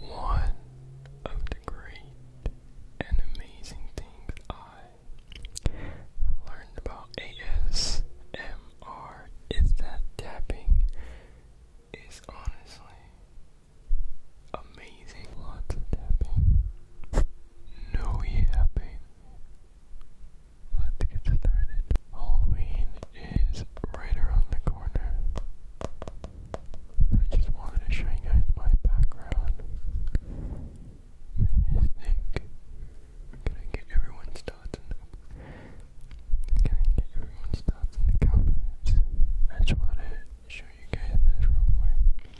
One of the great and amazing things I learned about ASMR is that tapping is honestly amazing. Lots of tapping, no yapping. Let's get started. Halloween is right around the corner. I just wanted to show you guys my background. What Can I get everyone's thoughts Can I get everyone's thoughts in the comments? I just wanted to you guys this real quick.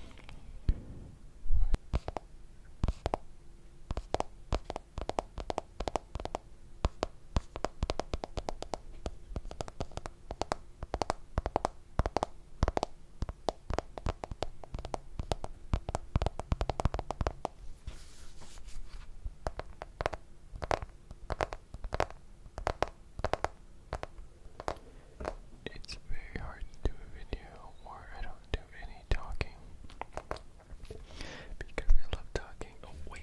It's very hard to do a video where I don't do any talking because I love talking. Oh, wait,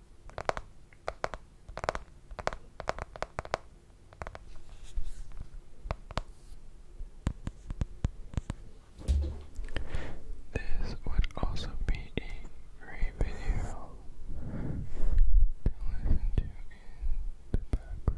This would also be a great video to listen to in the background.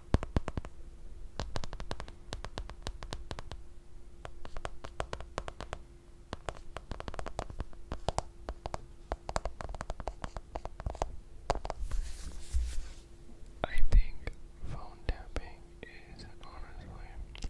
I think phone tapping is honestly amazing.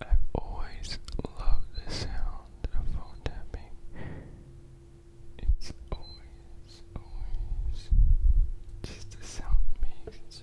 I've always loved the sound of phone tapping. It's always, always just the sound makes.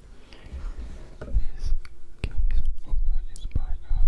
This case also is by uh, I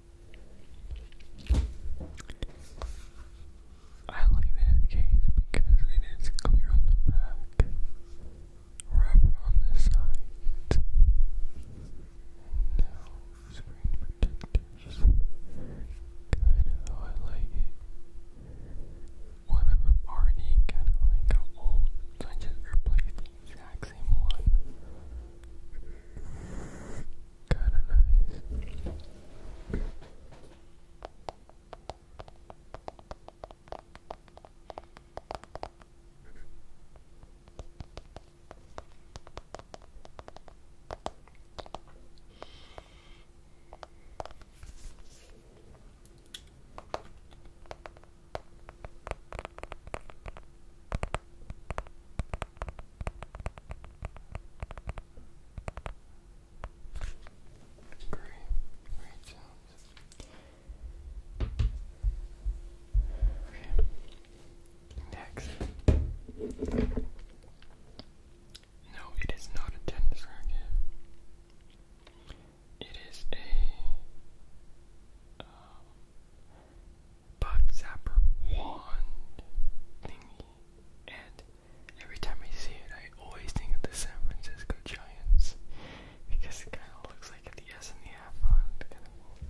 I like that case because it is clear on the back, rubber on the sides, and no screen protectors. Good, oh, I like it. One of them already kind of like old, so I just replaced the exact same one. Kinda nice. Great, great sounds. Okay. Next. No, it is not a tennis racket. It is a bug zapper wand thingy. And every time I see it, I always think of the San Francisco Giants because it kind of looks like the S and the F on it. Kind of cool.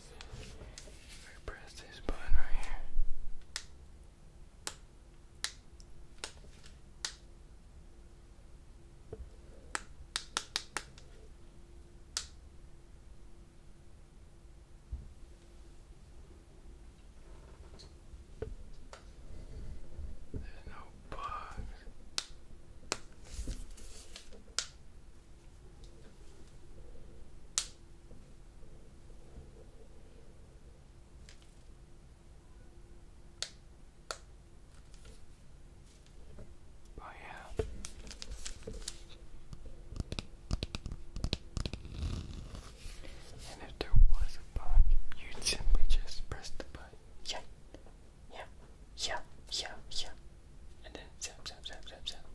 I press this button right here. There's no bugs. Oh, yeah. And if there was a button, you'd simply just press the button. Yeah, yeah, yeah, yeah, yeah. And then zap, zap, zap, zap, zap.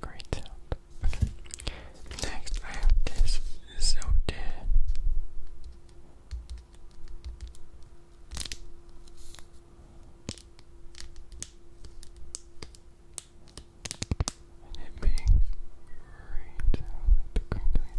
Great sound. Next, I have this Zote and it makes great sound to crinkly sound.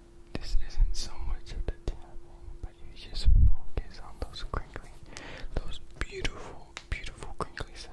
This isn't so much of the table, but you just focus on those crinkly, those beautiful, beautiful crinkly sounds.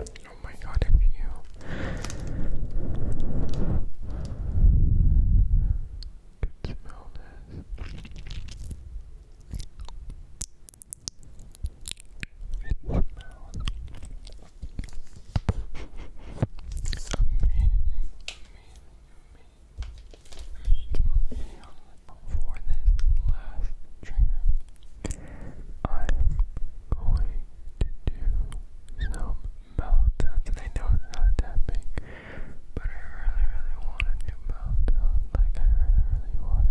Oh my god, if you could smell this for this last trigger, I'm going to do some mouth I know it's not that big, but I really, really want to like I really, really want to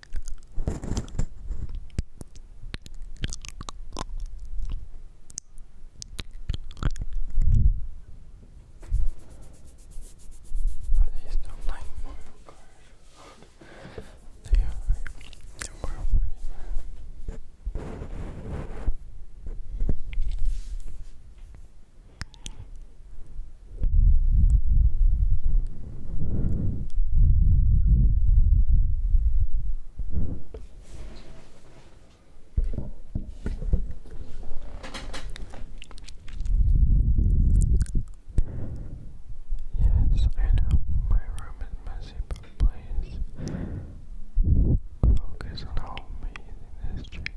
Are these not like Mario Kart? They are. They were pretty bad. Yes, I know my room is messy, but please focus on how this chair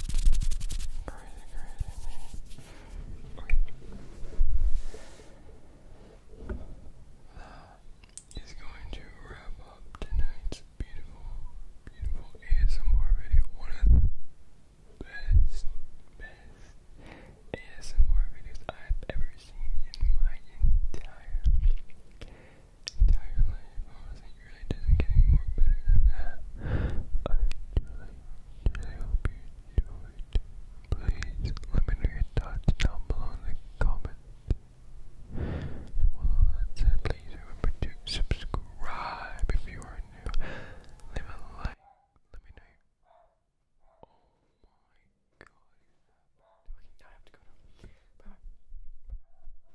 Crazy, crazy going to wrap up tonight's beautiful, beautiful ASMR video. One of the best, best ASMR videos I've ever seen in my entire entire life. Honestly, it really doesn't get more better than that. I really, really hope you enjoyed. Please let me know your thoughts down below in the comments. And while that's it, please remember to subscribe if you are new. Leave a like. Let me know your Oh my god. Okay, now I have to go Bye.